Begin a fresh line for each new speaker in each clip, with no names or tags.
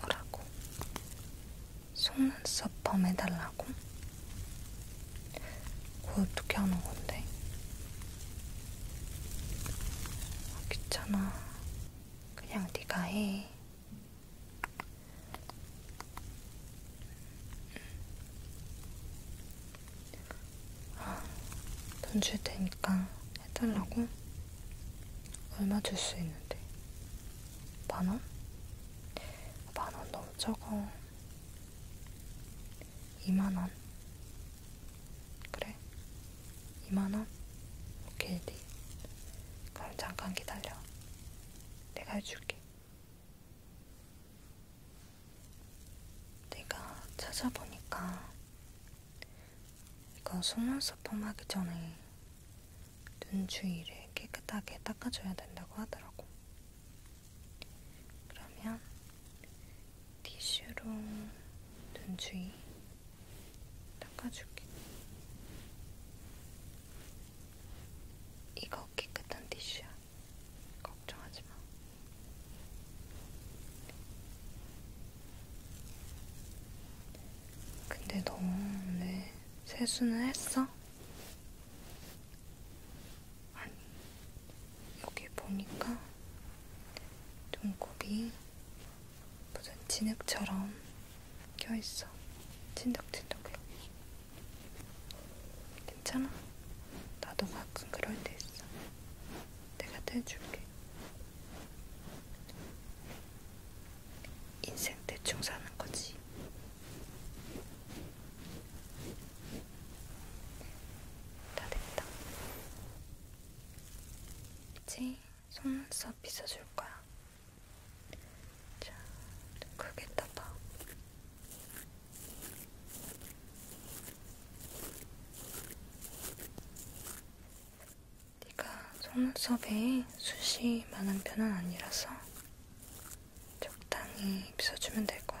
뭐라고? 속눈썹 펌 해달라고? 그거 어떻게 하는 건데? 아, 귀찮아. 그냥 네가 해. 돈줄 아, 테니까 해달라고? 얼마 줄 수 있는데? 만 원? 만 원 너무 적어. 이만 원. 그래? 2만원? 오케이 네 그럼 잠깐 기다려 내가 해줄게 내가 찾아보니까 이거 속눈썹 폼하기 전에 눈 주위를 깨끗하게 닦아줘야 된다고 하더라고 그러면 티슈로 눈 주위 닦아줄게. 이거 깨끗한 티슈야. 걱정하지 마. 근데 너 오늘 세수는 했어? 아니, 여기 보니까 눈곱이 무슨 진흙처럼 껴있어. 진득진득해. 괜찮아? 나도 가끔 그럴 때 있어. 내가 떼줄게. 인생 대충 사는 거지. 다 됐다. 그치? 속눈썹 빗어줄 거야. 자, 크게 떠봐. 네가 속눈썹에 숱이 많은 편은 아니라서 적당히 빗어주면 될 것 같아.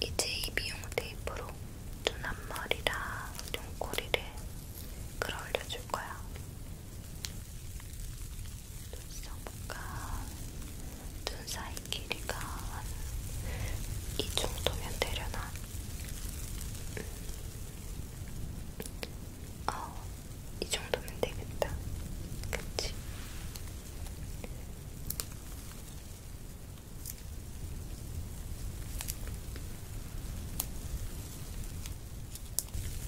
이제 이 미용 테이프로 눈 앞머리랑 눈꼬리를 끌어올려줄 거야. 눈썹과 눈 사이 길이가 이 정도면 되려나? 음. 어, 이 정도면 되겠다. 그치?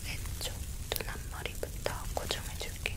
왼쪽 눈 앞머리부터 고정해줄게.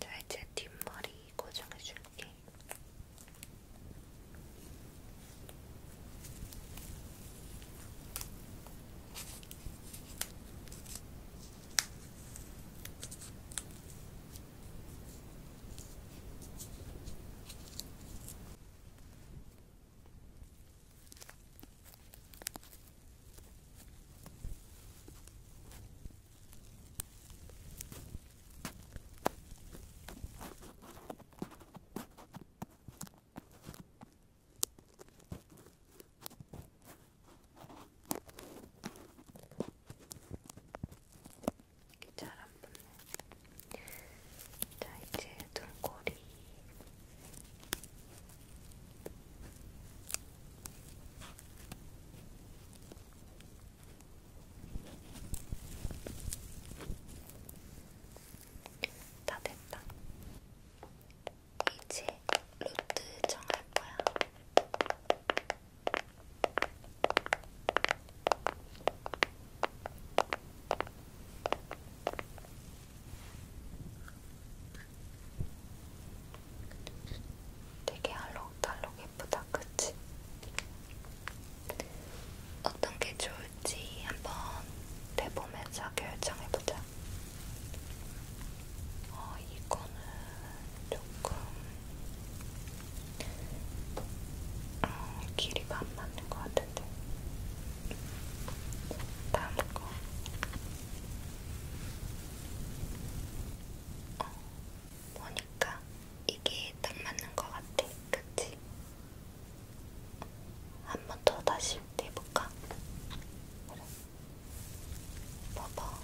자, 이제 뒷머리 고정해줄게. 잘안 붙네. 자, 이제 등골이 다 됐다. 이제 루트 정할 거야. 되게 알록달록 예쁘다, 그치? 어떤 게 좋을지 한번 대보면서 결정해보자. 어, 이거는 조금 어, 길이가 안 맞는 것 같은데. 다음 거. 어, 보니까 이게 딱 맞는 것 같아. 그치? 한 번 더 다시 해볼까? 그래. 봐봐.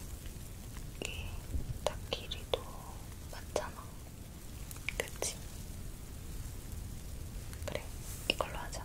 이게 딱 길이도 맞잖아. 그치? 그래, 이걸로 하자.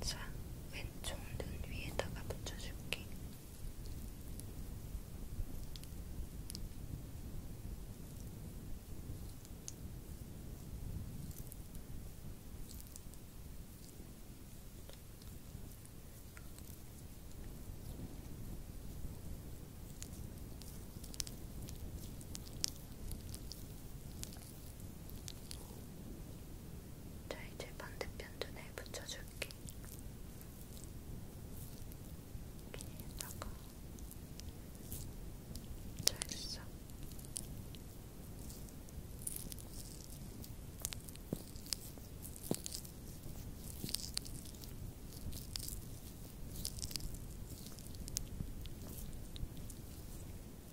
자, 왼쪽 눈 위에다가 붙여줄게. 자, 이제 반대편 눈에 네, 붙여줄게. 이렇게 해다가 잘했어.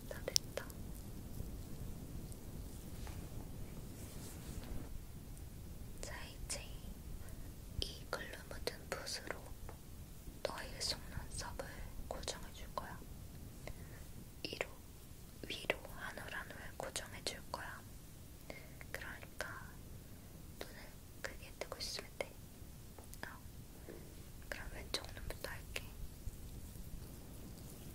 다 됐다. 자, 이제 이 글루 묻은 붓으로 너의 속눈썹을 고정해 줄 거야. 이로 위로 한올 한올 고정해 줄 거야. 그러니까 눈을 크게 뜨고 있으면 돼. 어. 그럼 왼쪽 눈부터 할게. 어,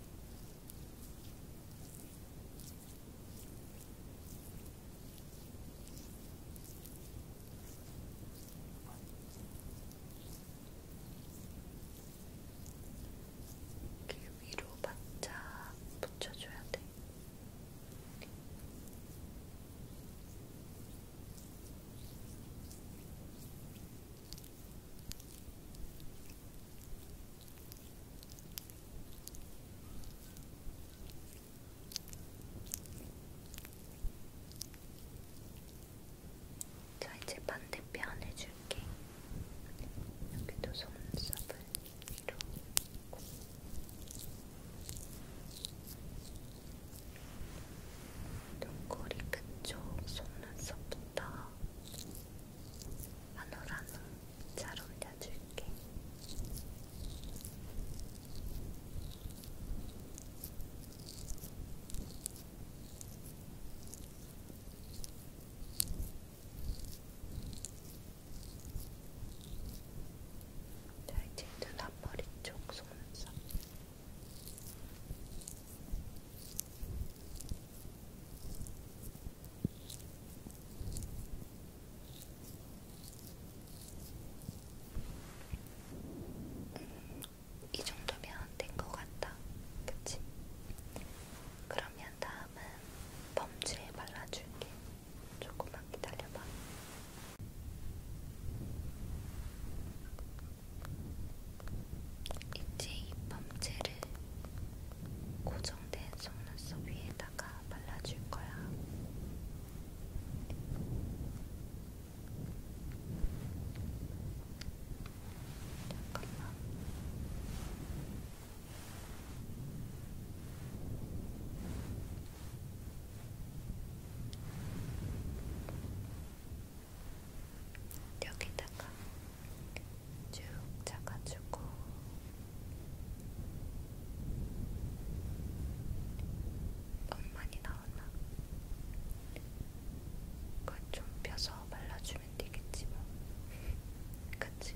이렇게 위로 바짝 붙여줘야 돼. 자 이제 반대편 해줄게. 여기도 속눈썹을 위로. 눈꼬리 끝쪽 속눈썹부터 한올한올 잘 올려줄게. 잘 짙은 앞머리 쪽 속눈썹 음, 이 정도면 된 것 같다. 그치? 그러면 다음은 범주에 발라줄게. 조금만 기다려봐. 이제 이 범죄를 고정된 속눈썹 위에다가 발라줄 거야. 잠깐만. 여기다가 쭉 잡아주고 너무 많이 나왔나? 그걸 좀 펴서 발라주고 해주면 되겠지 뭐. 그치?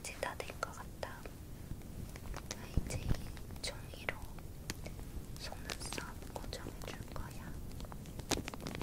이제 다 된 것 같다. 나 이제 종이로 속눈썹 고정해줄 거야. 음,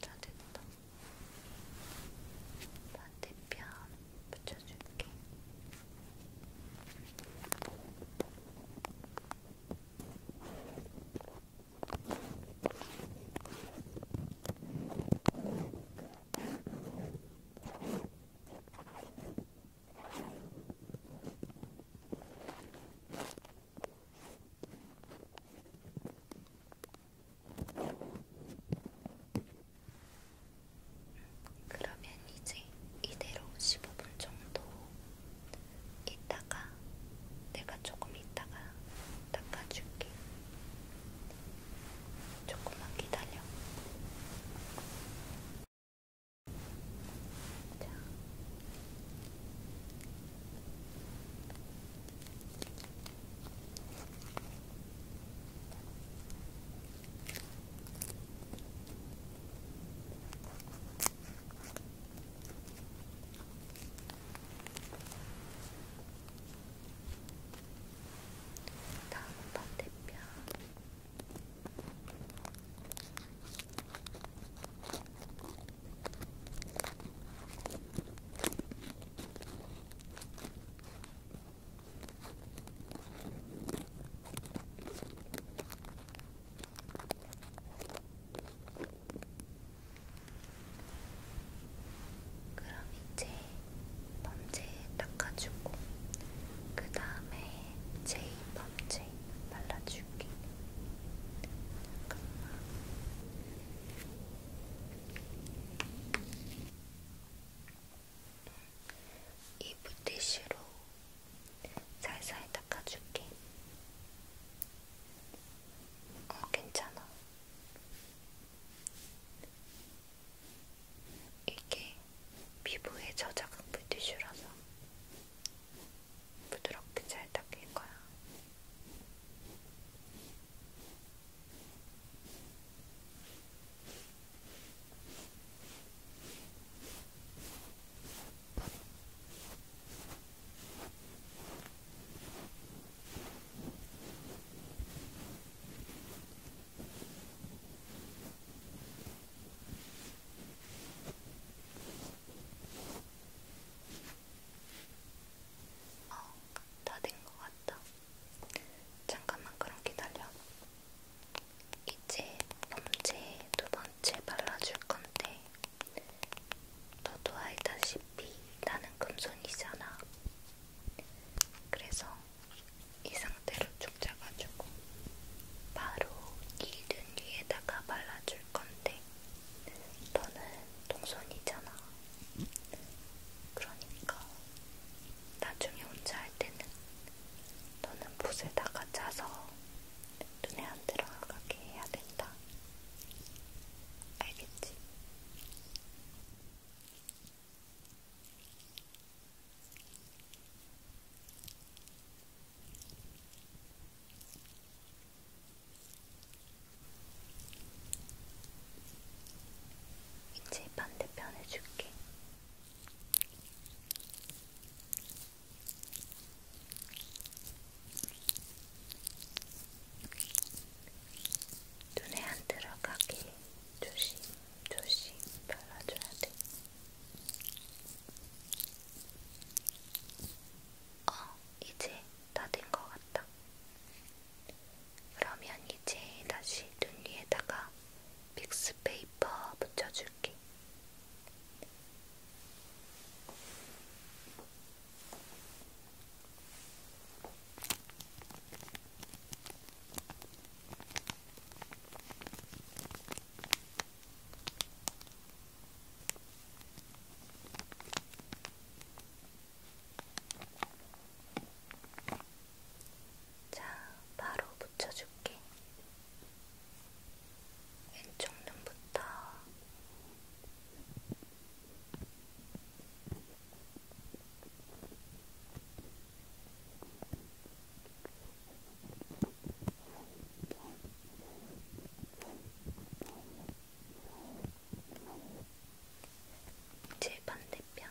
다 됐다. 반대편 붙여줄게. 그러면 이제 이대로 15분 정도 있다가 내가 조금 있다가 닦아줄게. 조금만 기다려. 자. 자, 다음 반대편 그럼 이제 범죄 닦아주고 그 다음에 제이 범죄 발라줄게. 잠깐만. 이 물티슈로 살살 닦아줄게. 어, 괜찮아. 이게 피부에 저자극 물티슈라서 부드럽게 잘 닦일 거야. 어, 다 된 것 같다. 잠깐만 그럼 기다려. 이제 범죄 두 번째 발라줄 건데, 너도 알다시피 나는 금손이잖아. 그래서 이 상태로 쭉 잡아주고 바로 이 눈 위에다가 발라줄 건데 너는 동선이잖아. 그러니까 나중에 혼자 할 때는 너는 붓에다가 짜서 눈에 안 들어가게 해야 된다. 알겠지? 이제 반대편 해줄게. 눈에 안 들어가게 조심조심 발라줘야 돼. 어, 이제 다 된 것 같다. 그러면 이제 다시 눈 위에다가 믹스페이퍼 붙여줄게. 자, 바로 붙여줄게. 왼쪽 눈부터 제 반대편.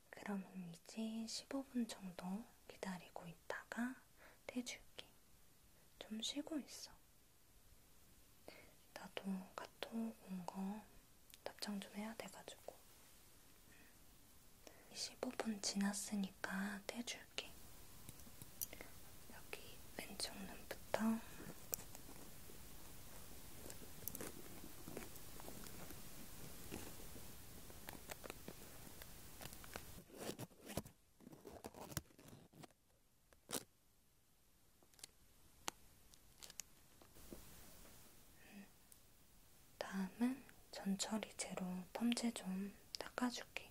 그러면 이제 15분 정도 기다리고 있다가 떼줄게. 좀 쉬고 있어. 나도 카톡 온 거 답장 좀 해야 돼가지고. 15분 지났으니까 떼줄게. 여기 왼쪽 눈부터 다음은 전처리제로 펌제 좀 닦아줄게.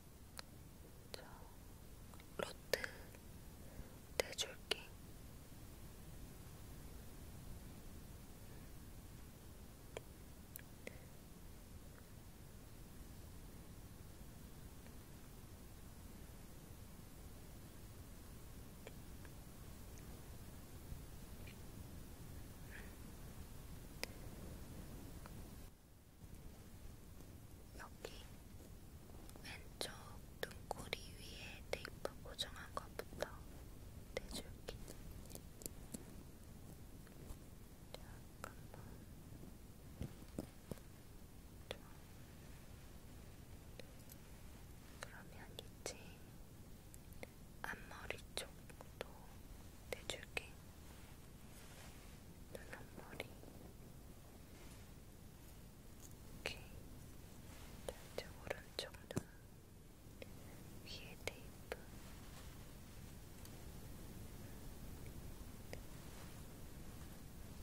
저 로트 대줄기 여기 왼쪽 눈꼬리 위에 테이프 고정한 것부터 떼줄게. 잠깐만. 좀. 그러면 이제 앞머리 쪽도 떼줄게. 눈앞머리, 이렇게 이제 오른쪽 눈 위에 테이프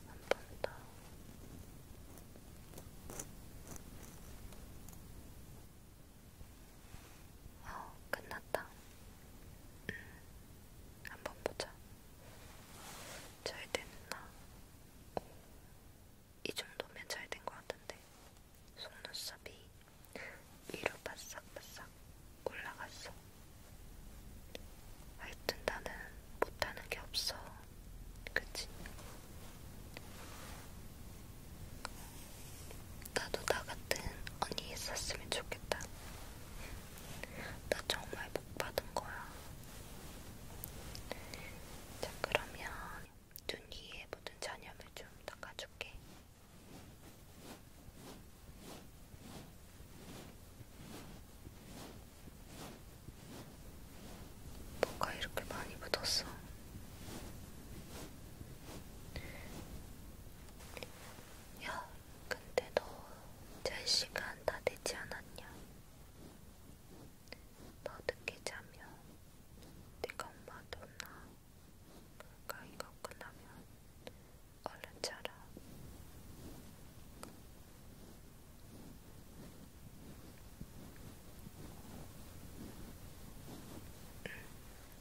한 번더 어, 끝났다. 음, 한번 보자. 잘 됐나? 오, 이 정도면 잘 된 것 같은데 속눈썹이 위로 바싹바싹 올라갔어. 하여튼 나는 못하는 게 없어. 그치? 나도 나 같은 언니 있었으면 좋겠다. 나 정말 복 받은 거야. 자, 그러면 눈 위에 묻은 잔염을 좀 닦아줄게. 뭐가 이렇게 많이 묻었어? 야, 근데 너잘 시간 다 되지 않았냐? 너 늦게 자면 네가 엄마한테 혼나. 그러니까 이거 끝나면 얼른 자라.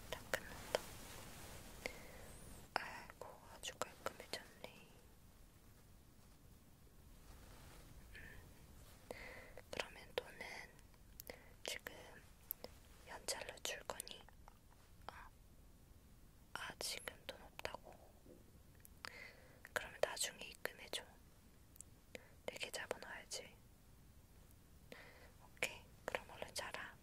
다 끝났다. 아이고, 아주 깔끔해졌네. 그러면 돈은 지금 연차로 줄 거니? 어? 아 지금 돈 없다고? 그러면 나중에 입금해줘 내 계좌번호 알지? 오케이 그럼 얼른 자라